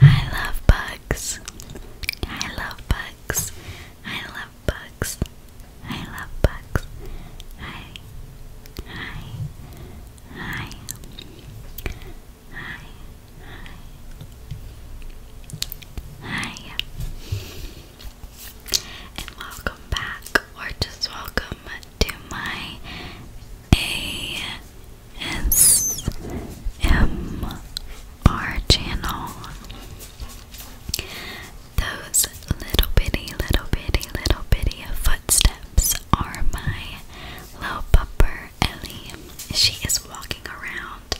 I love bugs. I love bugs. I love bugs. I love bugs. I I I I Hi and welcome back or just welcome to my A SMR channel. Those little bitty, little bitty, little bitty footsteps are my little pupper Ellie. She is walking around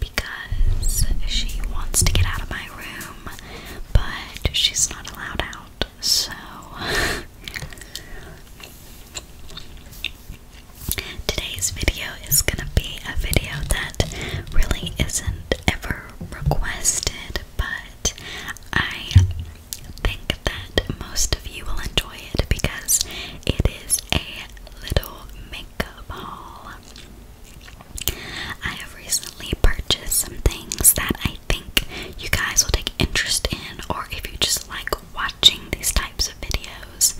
because she wants to get out of my room, but she's not allowed out, so. Today's video is gonna be a video that really isn't ever requested, but I think that most of you will enjoy it because it is a little makeup haul. I have recently purchased some things that I think you guys will take interest in, or if you just like watching these types of videos.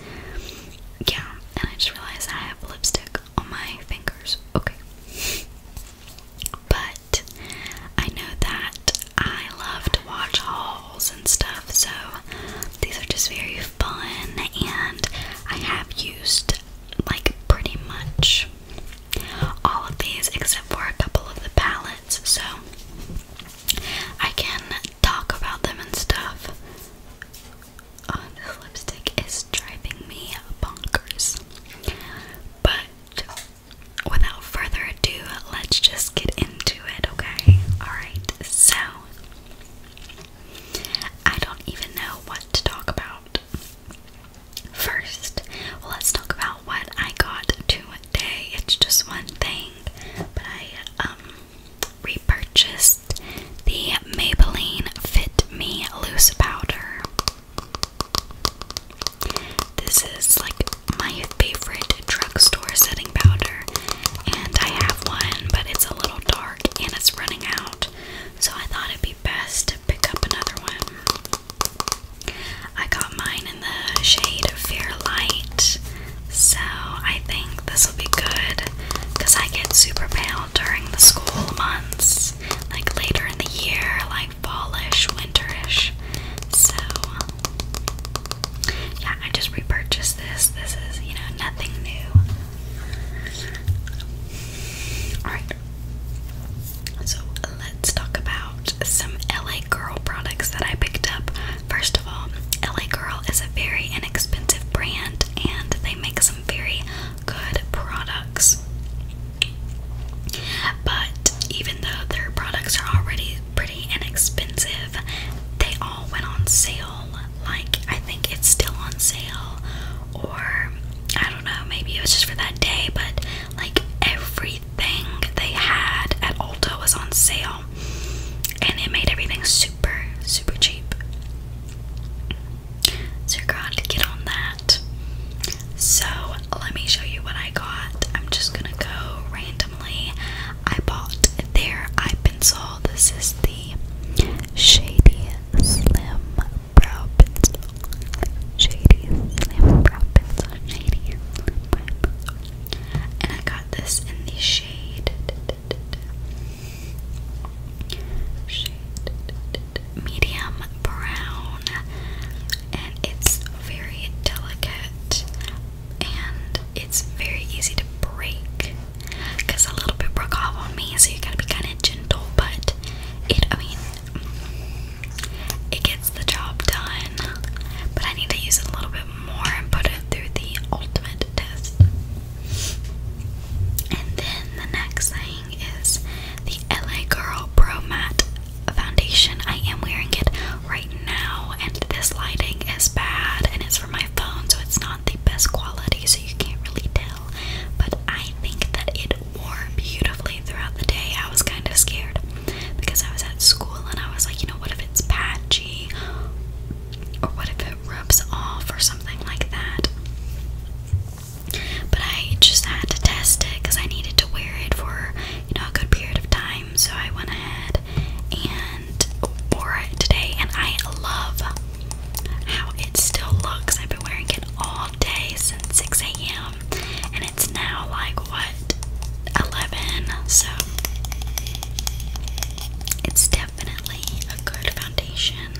Yeah, and I just realized I have lipstick on my fingers. Okay. But I know that I love to watch hauls and stuff, so these are just very fun, and I have used like pretty much all of these except for a couple of the palettes so I can talk about them and stuff. Oh, this lipstick is driving me bonkers. But without further ado, let's just get into it, okay? Alright, so I don't even know what to talk about. First, let's talk about what I got to what it's just one thing, but I um, repurchased the Maybelline Fit Me Loose Powder. This is like my favorite drugstore setting powder, and I have one, but it's a little dark and it's running out, so I thought it'd be best to pick up another one. I got mine in the shade Fair Light, so I think this will be good because I get super pale during the school months, like later in the year, like fallish, winterish. So, yeah, I just repurchased this. This is, you know, nothing new. Alright. So, let's talk about some LA Girl products that I picked up First of all, LA Girl is a very inexpensive brand and they make some very good products. But even though their products are already pretty inexpensive, they all went on sale. Like, I think it's still on sale, or I don't know, maybe it was just for that day, but like every everything they had at Ulta was on sale, and it made everything super, super cheap. So you're going to get on that. So let me show you what I got. I'm just gonna go randomly. I bought their eye pencil. This is the Shady Slim Brow Pencil. Shady Slim Brow Pencil. Shady and I got this in the shade shade medium brown and it's very delicate and it's very easy to break because a little bit broke off on me so you gotta be kind of gentle but it I mean it gets the job done, but I need to use it a little bit more and put it through the ultimate test. And then the next thing is the LA Girl Pro Matte Foundation. I am wearing it right now, and this lighting is bad, and it's for my phone, so it's not the best quality, so you can't really tell. But I think that it wore beautifully throughout the day. I was kind of scared because I was at school and I was like, you know what if it's patchy? Or what if it rubs off or something like that? But I just had to test it because I needed to wear it for, you know, a good period of time. So I went ahead and wore it today. And I love how it still looks. I've been wearing it all day since 6 a.m and it's now like what 11 so it's definitely a good foundation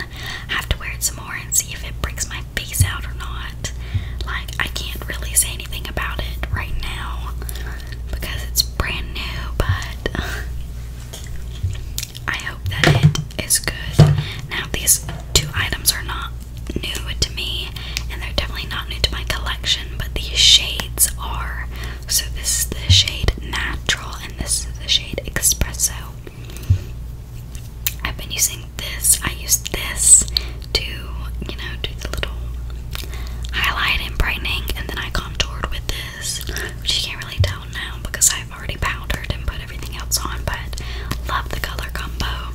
have to wear it some more and see if it breaks my face out or not like I can't really say anything about it right now because it's brand new but I hope that it is good now these two items are not new to me, and they're definitely not new to my collection, but these shades are. So, this is the shade Natural, and this is the shade Espresso. I've been using this, I used this to, you know, do the little highlighting and brightening, and then I contoured with this, which you can't really tell now because I've already powdered and put everything else on, but love the color combo.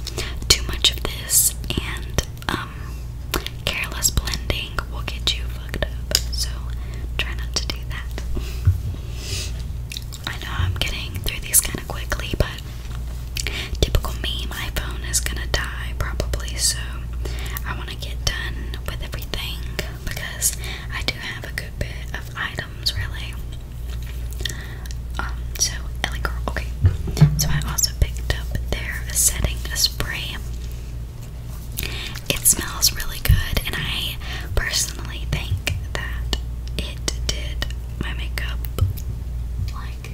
Too much of this and um, careless blending will get you fucked up. So try not to do that. I know I'm getting through these kind of quickly, but typical me, my phone is gonna die probably. So I want to get done with everything because I do have a good bit of items really. Um, so so, Ellie Girl, okay. So, I also picked up their setting spray. It smells really good, and I personally think that it did my makeup. Like,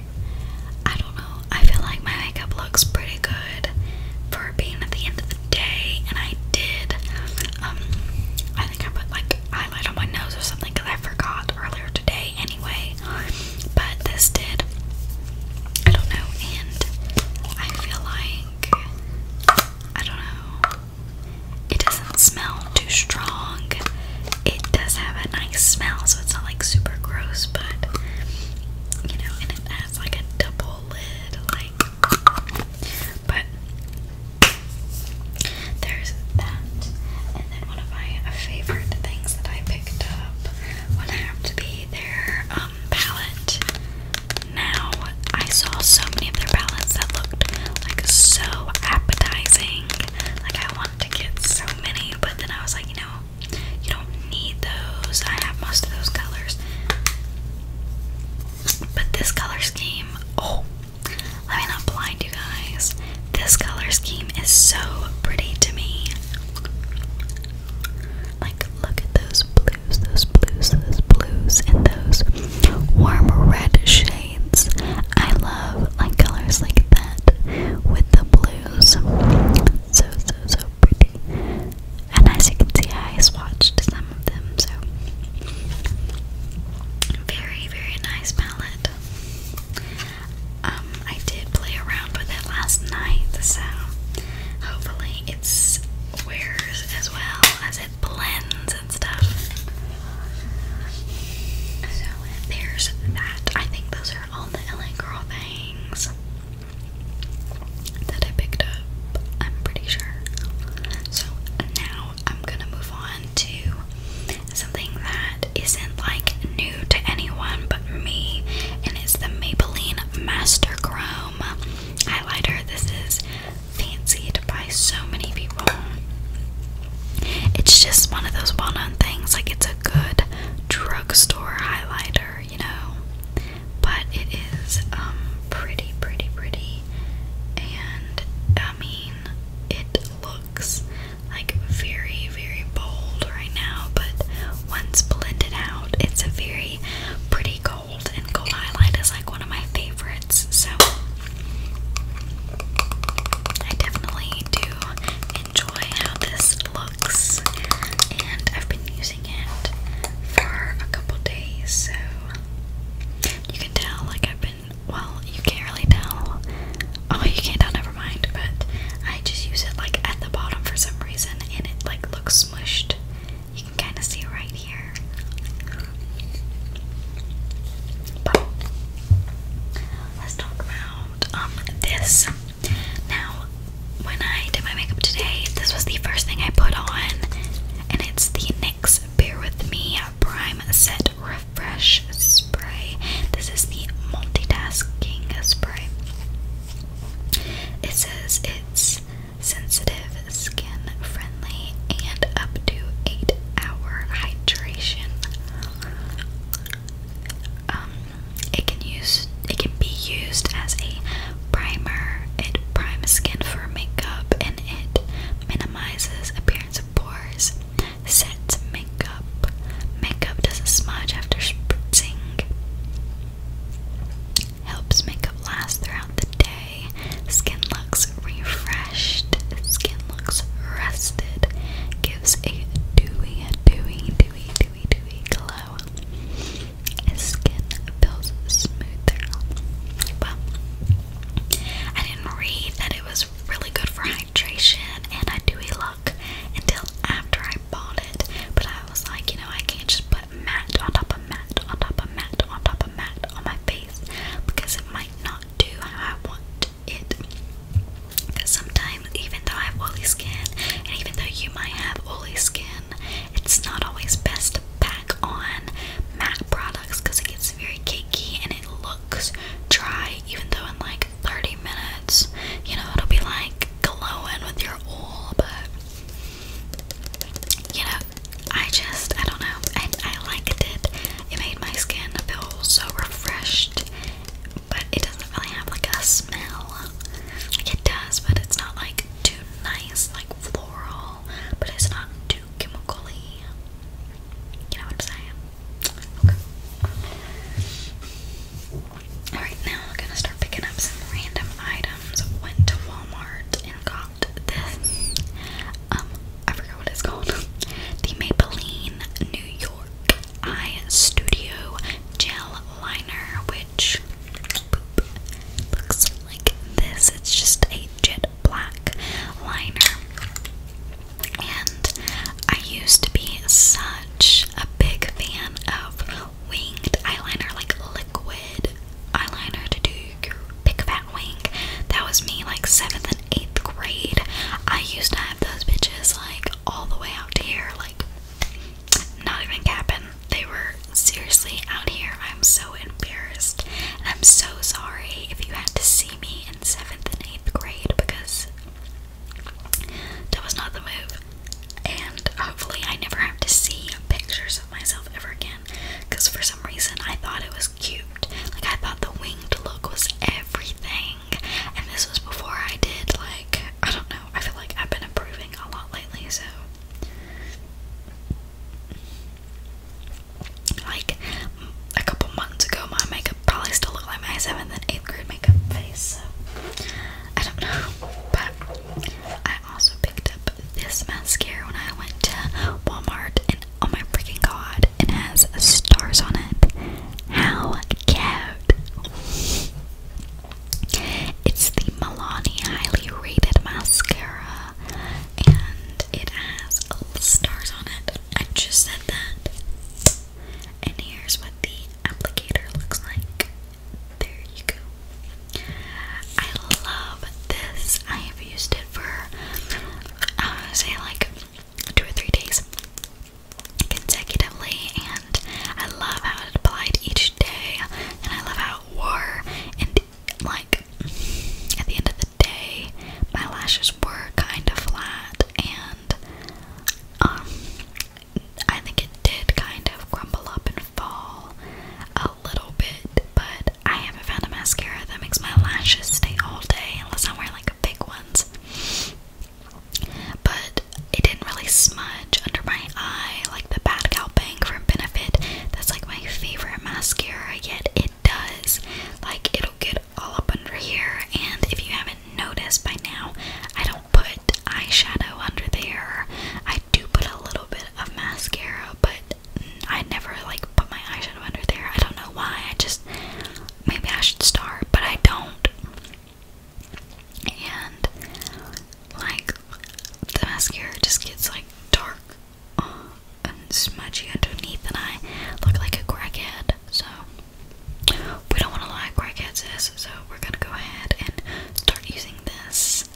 I don't know. I feel like my makeup looks pretty good for being at the end of the day, and I did. Um, I think I put like eyeliner on my nose or something because I forgot earlier today anyway, but this did. I don't know, and I feel like I don't know. It doesn't smell too strong. It does have a nice smell, so it's not like super gross, but you know, and it has like a double lid, like but there's that. And then one of my favorite things that I picked up what happened to be their um, palette. Now I saw so many of their palettes that looked like so appetizing. Like I wanted to get so many, but then I was like, you know, you don't need those. I have most of those colors. But this color scheme, oh, let me not blind guys. This color scheme is so pretty to me. Like, look at those blues, those blues, those blues, and those warm red shades. I love like colors like that with the blues. So, so, so pretty. And as you can see, I swatched some of them, so very, very nice palette. Um, I did play around with it last night, so hopefully it's wears as well as it blends and stuff. So there's that. I think those are all the LA Girl things that I picked up. I'm pretty sure. So now I'm gonna move on to something that isn't like new to anyone but me, and it's the Maybelline Master Chrome highlighter. This is fancied by so many people. It's just one of those well known things, like it's a good drugstore highlighter, you know. But it is um pretty, pretty, pretty, and I mean, it looks like very, very bold right now, but once blended out, it's a very pretty gold, and gold highlight is like one of my favorites. So I definitely do enjoy how this looks, and I've been using it for a couple days, so you can tell like I've been well, you can't really tell. Oh, you can't tell, never mind. But I just use it like at the bottom for some reason and it like looks smushed. You can kind of see right here. But let's talk about um this. Now, when I did my makeup today, this was the first thing I put on, and it's the NYX Bear With Me Prime Set Real Fresh Spray. This is the multitasking spray. It says it's sensitive, skin friendly, and up to 8 hour hydration. Um, it can use it can be used as a primer. It primes skin for makeup and it minimizes appearance of pores sets makeup. Makeup doesn't smudge after spritzing. Helps makeup last throughout the day. Skin looks refreshed. Skin looks rested. Gives a dewy, dewy, dewy, dewy, dewy glow. skin feels smoother. Well, I didn't read that it was really good for and I do a look until after I bought it. But I was like, you know, I can't just put matte on top of matte on top of matte on top of matte on my face because it might not do how I want it. Because sometimes, even though I have oily skin, and even though you might have oily skin, it's not always best to pack on matte products because it gets very cakey and it looks dry, even though I'm like 30 minutes. You know, it'll be like glowing with your oil, but you know, I just, I don't know, I, I liked it. It made my skin feel so refreshed, but it doesn't really have like a smell. it does, but it's not like too nice, like floral, but it's not too chemically. You know what I'm saying? Okay. Alright, now we're gonna start picking up some random items. Went to Walmart and got this. Um, I forgot what it's called. the Maybelline New York Eye Studio Gel Liner, which looks like this. It's just a jet black liner. And I used to be such a big fan of winged eyeliner, like liquid eyeliner to do your big fat wing. That was me like 7th and 8th grade. I used to have those bitches like all the way out here, like not even capping. They were seriously out here. I'm so embarrassed. I'm so sorry if you had to see me in 7th and eighth eighth because that was not the move. And hopefully, I never have to see pictures of myself ever again. Because for some reason, I thought it was cute. Like, I thought the winged look was everything. And this was before I did, like, I don't know. I feel like I've been improving a lot lately, so like a couple months ago my makeup probably still looked like my seventh and eighth grade makeup face, so I don't know. But I also picked up this mascara when I went to Walmart and oh my freaking god, it has stars on it. How cute! It's the Milani highly rated mascara and it has stars on it. I just said that. And here's what the applicator looks like. There you go. I love this. I have used it for, I want to say, like two or three days consecutively, and I love how it applied each day, and I love how it wore, and like at the end of day, my lashes were kind of flat, and um, I think it did kind of crumble up and fall a little bit. But I haven't found a mascara that makes my lashes stay all day unless I wear like big ones. But it didn't really smudge under my eye like the Bad Gal Bang from Benefit. That's like my favorite mascara, yet it does. Like, it'll get all up under here. And if you haven't noticed by now, I don't put eyeshadow under there. I do put a little bit of mascara, but I never like put my eyeshadow under there. I don't know why. I just maybe I should start, but I don't. And like the mascara just gets like dark and smudgy underneath, and I look like a crackhead. So we don't want to lie, crackheads is. So we're gonna go ahead and start using this.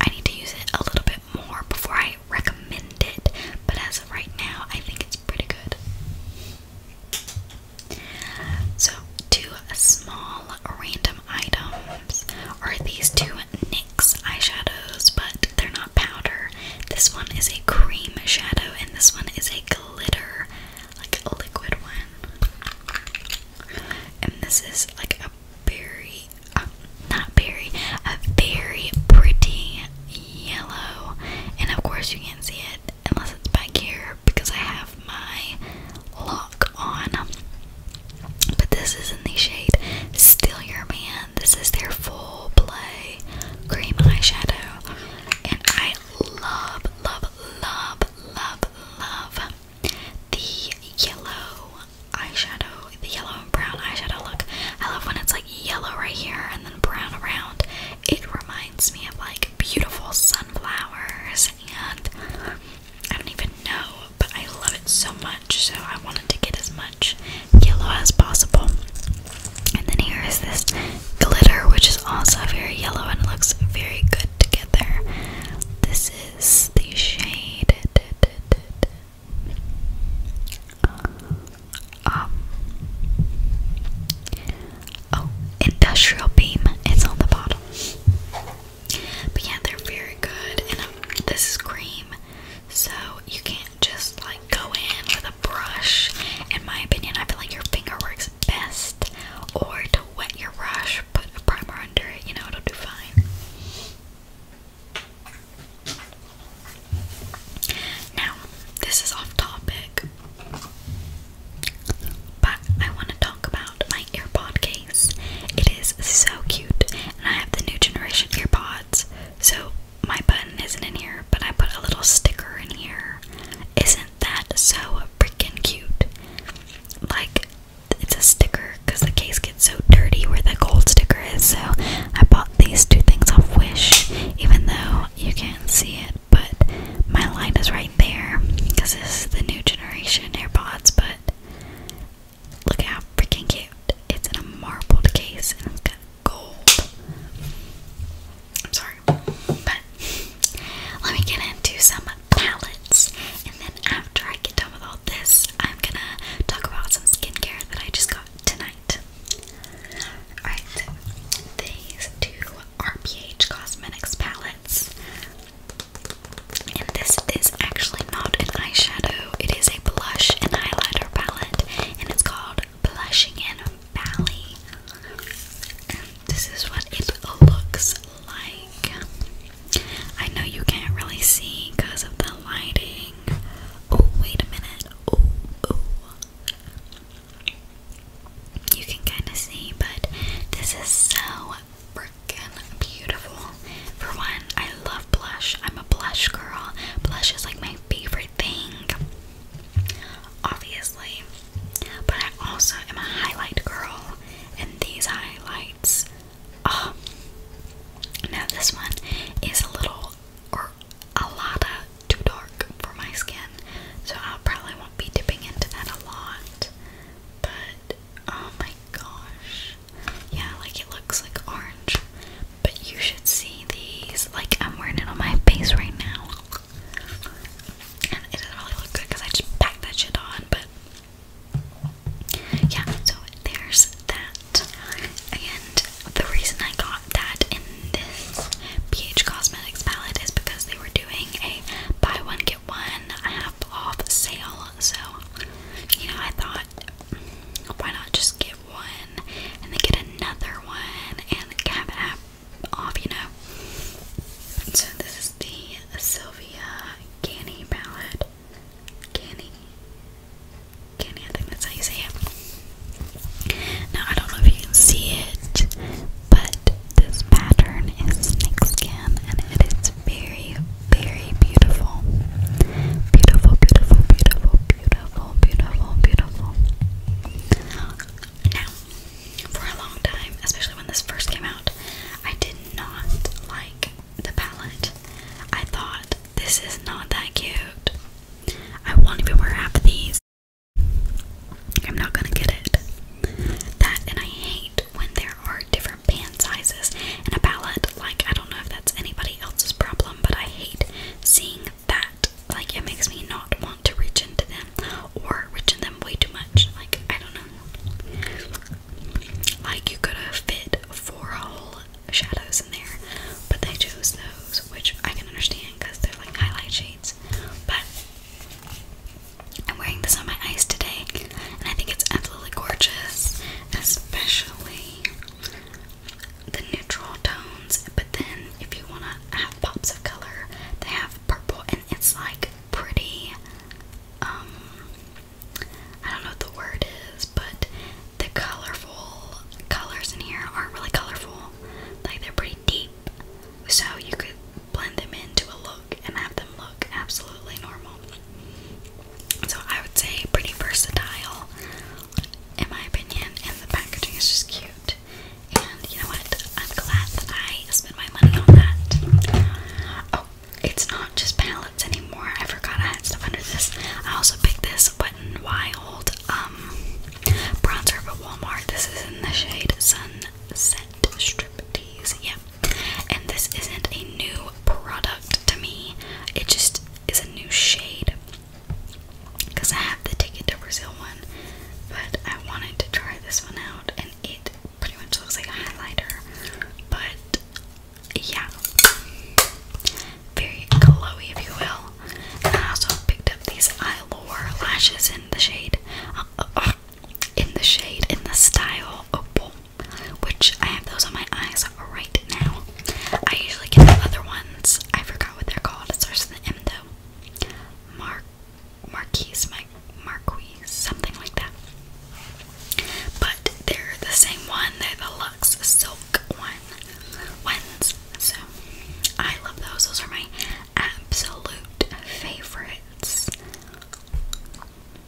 I need to use it a little bit more before I recommend it, but as of right now, I think it's pretty good. So, two small random items are these two NYX eyeshadows, but they're not powder. This one is a cream shadow, and this one is a glitter, like a liquid one. And this is like a berry, uh, not berry, a very pretty yellow. And of course, you can't see it unless it's back here because I have my lock on. But this is in the shade Still Your Man. This is their full play cream eyeshadow, and I love, love, love, love, love the yellow eyeshadow, the yellow and brown eyeshadow look. I love when it's like yellow right here and then brown around. It reminds me of like beautiful sunflowers, and I don't even know, but I love it so much, so I wanted to get as much yellow as possible. And then here is this glitter, which is also very yellow and looks very good to get there. This is the shade um, oh, industrial beam. It's on the bottom. But yeah, they're very good, and um, this is cream, so you can't just like go in with a brush. In my opinion, I feel like your finger works best. Or to wet your brush, put a primer under it, you know, it'll do fine. Now, this is off topic, but I want to talk about my earbud case. It is so cute, and I have the new generation earpods, so my button isn't in here, but I put a little sticker in here. Isn't that so freaking cute? Like, it's a sticker because the case gets so dirty where the gold sticker is. So, I bought these two things off Wish, even though you can't see it. But my line is right there because this is the new generation AirPods. But look how freaking cute! It's in a marbled case and it's gold. I'm sorry, but let me get into some palettes, and then after I get done with all this, I'm gonna talk about some skincare that I just got tonight. Alright, these two RPH Cosmetics palettes, and this is actually not an eyeshadow, it is a blush and highlighter palette, and it's called Blushing in Valley. this is what it looks like. I know you can't really see because of the lighting. Oh, wait a minute. Oh, oh. You can kind of see, but this is so freaking beautiful. For one, I I love blush. I'm a blush girl. Blush is like my favorite thing, obviously. But I also am a highlight girl, and these highlights. Oh, now this one is a little or a lot too dark for my skin, so I probably won't be dipping into that a lot. But oh my gosh, yeah, like it looks like orange. But you should see these. Like I'm wearing it on my face right now. And it doesn't really look good because I just packed that shit on, but yeah, so there's that. And the reason I got that in this PH Cosmetics palette is because they were doing a buy one get one half off sale. So, you know, I thought why not just give get one and then get another one and cap it off, you know. So this is the Sylvia Canny palette. Canny. Canny, I think that's how you say it. Now I don't know if you can see it, but this pattern is snake skin and it is very, very beautiful. Beautiful, beautiful, beautiful, Beautiful, beautiful, beautiful. Now, for a long time, especially when this first came out, I did not like the palette. I thought, this is not that cute. I won't even wear half of these. I'm not gonna get it. That, and I hate when there are different pan sizes in a palette. Like, I don't know if that's anybody else's problem, but I hate seeing that. Like, it makes me not want to reach into them or reach in them way too much. Like, I don't know. Like, you could have fit four whole shadows in there, but they chose those, which I can understand because they're like highlight shades. But I'm wearing this on my eyes today, and I think it's absolutely gorgeous, especially the neutral tones, but then if you want to have pops of color, they have purple, and it's like pretty. Um, I don't know what the word is, but the colorful colors in here aren't really colorful, like they're pretty deep, so you could blend them into a look and have them look absolutely normal. So I would say pretty versatile in my opinion and the packaging is just cute. And you know what? I'm glad that I spent my money on that. Oh, it's not just palettes anymore. I forgot I had stuff under this. I also picked this Wet n Wild um bronzer at Walmart. This is in the shade Sunset Strip Tease. Yeah. And this isn't a new product to me. It just is a new shade because I have the Ticket to Brazil one, but I wanted to try this one out, and it pretty much looks like a highlighter, but yeah, very glowy, if you will. And I also picked up these Eyelure lashes in the shade, uh, uh, in the shade, in the style Opal which I have those on my eyes right now. I usually get the other ones. I forgot what they're called. It starts with an M though. Mar Marquise, my Marquise, something like that. But they're the same one. They're the Lux Silk ones. So I love those. Those are my absolute favorites.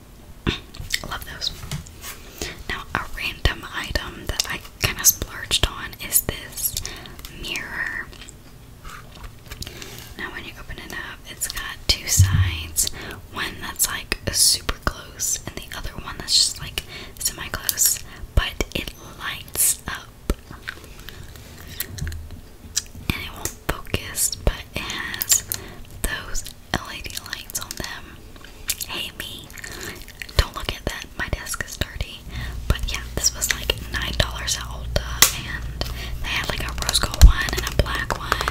Love those. Now, a random item that I kind of splurged on is this mirror. Now, when you open it up, it's got two sides one that's like super close, and the other one that's just like semi close, but it lights up. And it won't focus, but it has those LED lights on them. Hey me, don't look at that. My desk is dirty. But yeah, this was like nine dollars at Ulta, and they had like a rose gold one and a black one.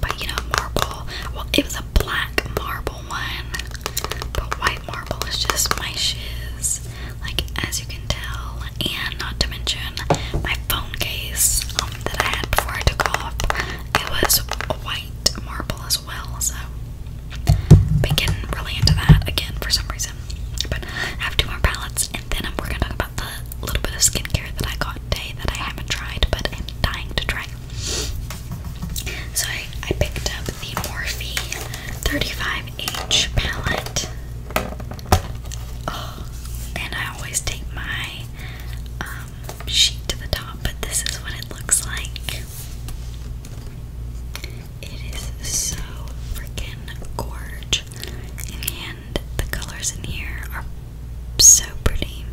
But you know, marble. Well, it was a black marble one, but white marble is just my shiz. Like as you can tell, and not to mention my phone case um, that I had before I took off. It was white marble as well, so we can really into that again for some reason. But I have two more palettes, and then we're gonna talk about the little bit of skincare that I got today that I haven't tried but am dying to try. So I, I picked up the Morphe 35H palette. Oh, and I always take my um, sheet to the top, but this is what it looks like. It is so freaking gorge, and the colors in here are so pretty.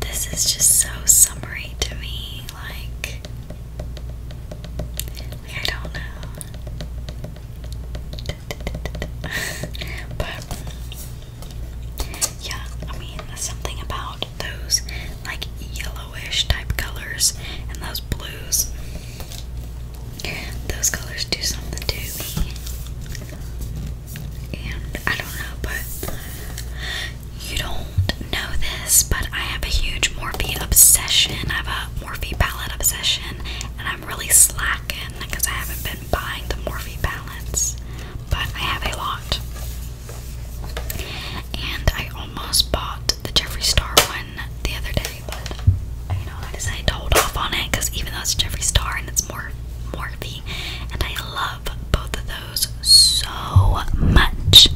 This is just so summery to me, like I don't know but yeah, I mean something about those like yellowish type colors and those blues. Those colors do something to me. And I don't know, but you don't know this, but I have a huge Morphe obsession. I have a Morphe palette obsession, and I'm really slacking because I haven't been buying the Morphe balance, but I have a lot. And I almost bought the Jeffree Star one the other day, but I decided to hold off on it because even though it's Jeffree Star and it's more Morphe, and I love both of those so much,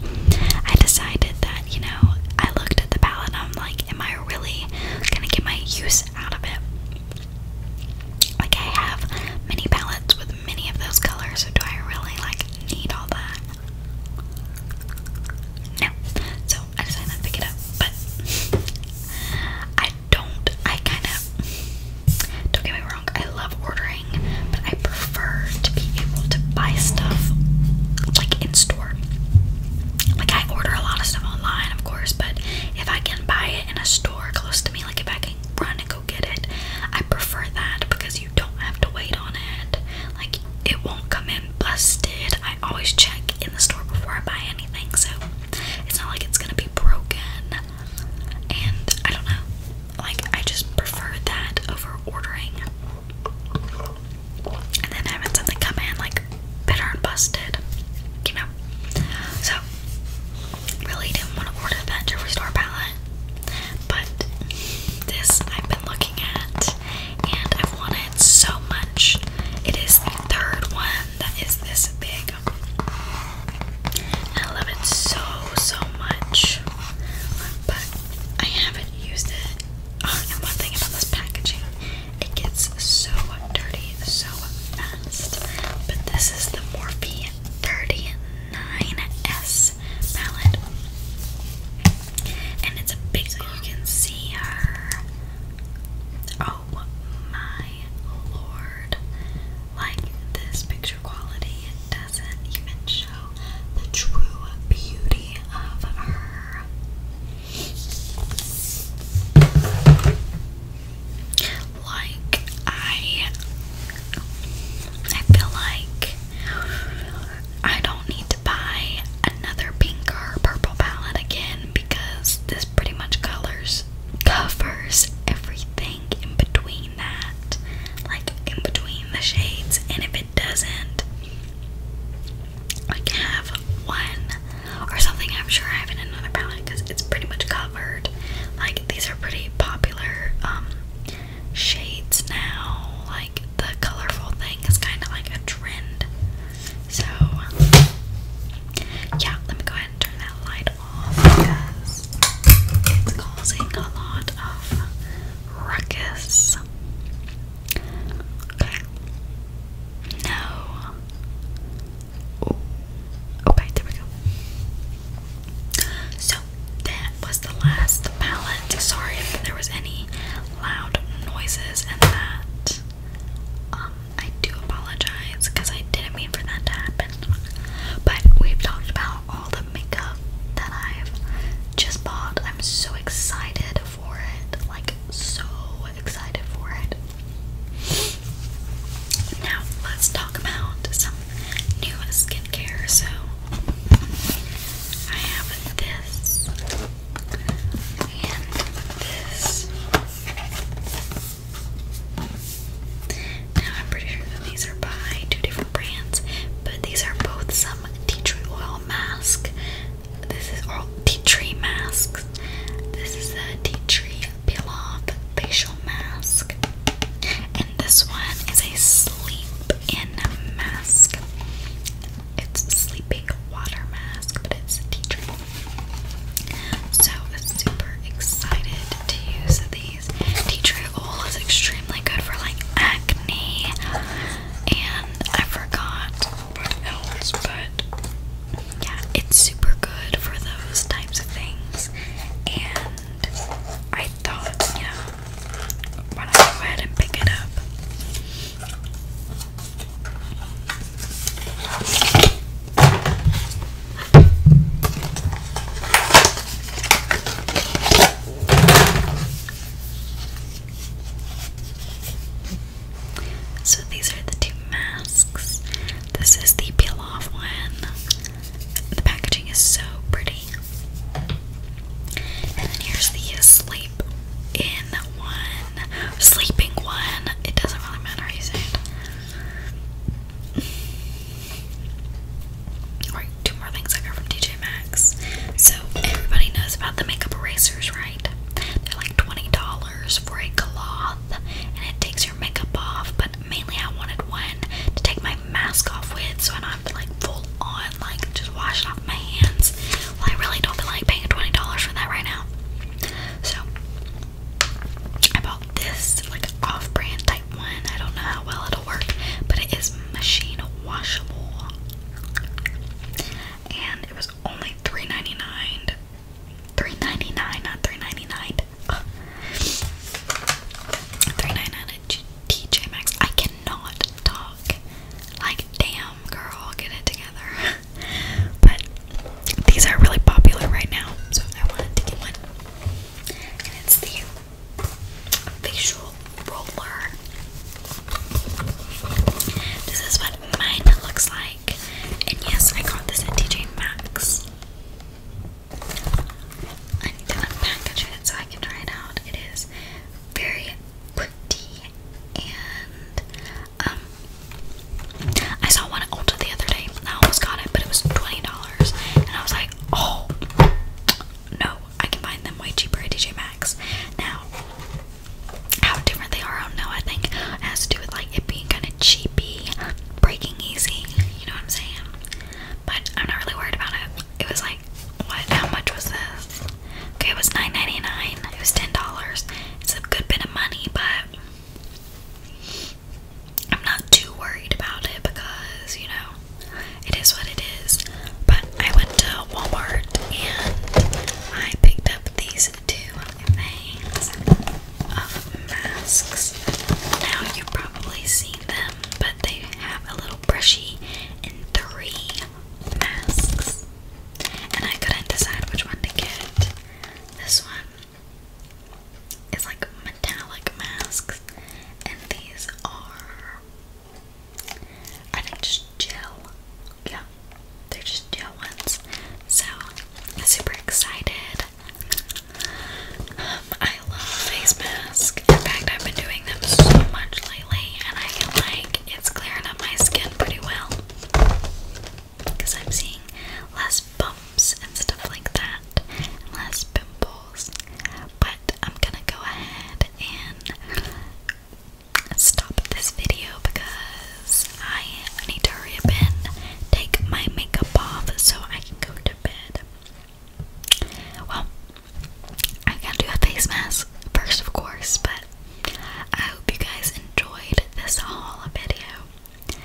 I decided that you know, I looked at the palette and I'm like, am I really gonna get my use out of it. Like, I have many palettes with many of those colors, do I really, like, need all that? No. So, I decided to pick it up, but I don't, I kind of, don't get me wrong, I love ordering, but I prefer to be able to buy stuff, like, in store. Like I order a lot of stuff online, of course, but if I can buy it in a store close to me, like if I can run and go get it, I prefer that because you don't have to wait on it. Like it won't come in busted. I always check in the store before I buy anything, so it's not like it's gonna be broken. And I don't know. Like I just prefer that over ordering and then having something come in like bitter busted, you know. So really didn't want to order that jewelry palette, but this I've been looking at and I've wanted so much. It is the third one that is this big. I love it so so much, but I haven't used it. Oh, and one thing about this packaging it gets so dirty so fast. But this is the Morphe 39S palette. And it's a big so you can see her. Oh my lord. Like this picture quality doesn't even show the true beauty of her. Like I I feel like I don't need to buy another pink or purple palette again because this pretty much colors covers everything in between that like in between the shades and if it doesn't I can have one or something I'm sure I have another palette because it's pretty much covered. Like these are pretty popular um, shades now. Like the colorful thing is kind of like a trend. So yeah, let me go ahead and turn that light off because it's causing a lot of ruckus. Okay. No. Ooh. Okay, there we go. So that was the last palette. Sorry if there was any loud noises and that. Um, I do apologize because I didn't mean for that to happen. But we've talked about all the makeup that I've just bought. I'm so excited for it, like so excited for it. Now let's talk about some new skincare. So I have this and this. Now I'm pretty sure these are by two different brands, but these are both some tea tree oil mask this is all tea tree masks. This is a tea tree peel off facial mask. And this one is a sleep in mask. It's sleeping water mask, but it's a tea tree. So super excited to use these. Tea tree oil is extremely good for like acne. And I forgot else, but yeah, it's super good for those types of things. And I thought, you know, why not go ahead and pick it up? So these are the two masks. This is the peel off one. The packaging is so pretty. And then here's the sleep in one, sleeping one. It doesn't really matter how you say it. two more things I got from DJ Maxx. So everybody knows about the makeup erasers, right? They're like $20 for a cloth and it takes your makeup off, but mainly I wanted one to take my mask off with so I don't have to like full on like just wash off my hands. Well, I really don't feel like paying $20 for that right now. So I bought this like off-brand type one. I don't know how well it'll work, but it is machine washable and it was only $3.99. $3.99, not $3.99. Uh, $3.99 at TJ Maxx. I cannot talk. Like, damn, girl, get it together. but these are really popular right now, so I wanted to get one. And it's the facial roller. This is what mine looks like. And yes, I got this at TJ Maxx. I need to unpackage it so I can try it out. It is very pretty and um I saw one at Ulta the other day I almost got it but it was $20 and I was like oh no I can find them way cheaper at DJ Maxx. Now how different they are. I don't know. I think it has to do with like it being kind of cheapy, breaking easy. You know what I'm saying? But I'm not really worried about it. It was like, what? How much was this? Okay, it was nine ninety nine. dollars It was $10. It's a good bit of money, but I'm not too worried about it because you know it is what it is. But I went to Walmart and I picked up these two things of um, masks. Now you've probably seen them, but they have a little brushy in three masks. And I couldn't decide which one to get. This one is like metallic masks, and these are I think just gel. Yeah, they're just gel ones. So I'm super excited. Um, I love face masks. In fact, I've been doing them so much lately, and I feel like it's clearing up my skin pretty well. Because I'm seeing less bumps and stuff like that, less pimples. But I'm gonna go ahead and stop this video because I need to hurry up and take my makeup off so I can go to bed. Well, I gotta do a face mask first, of course, but I hope you guys enjoyed this haul video.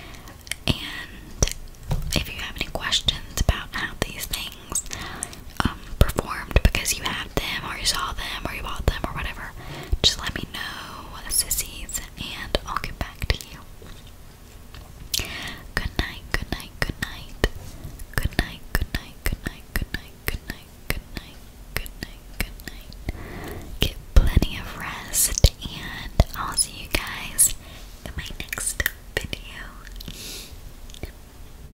And if you have any questions about how these things things um, performed because you had them or you saw them or you bought them or whatever, just let me know, sissies, and I'll get back to you. Good night, good night, good night. Good night, good night, good night, good night, good night, good night, good night, good night. Get plenty of rest, and I'll see you guys in my next video.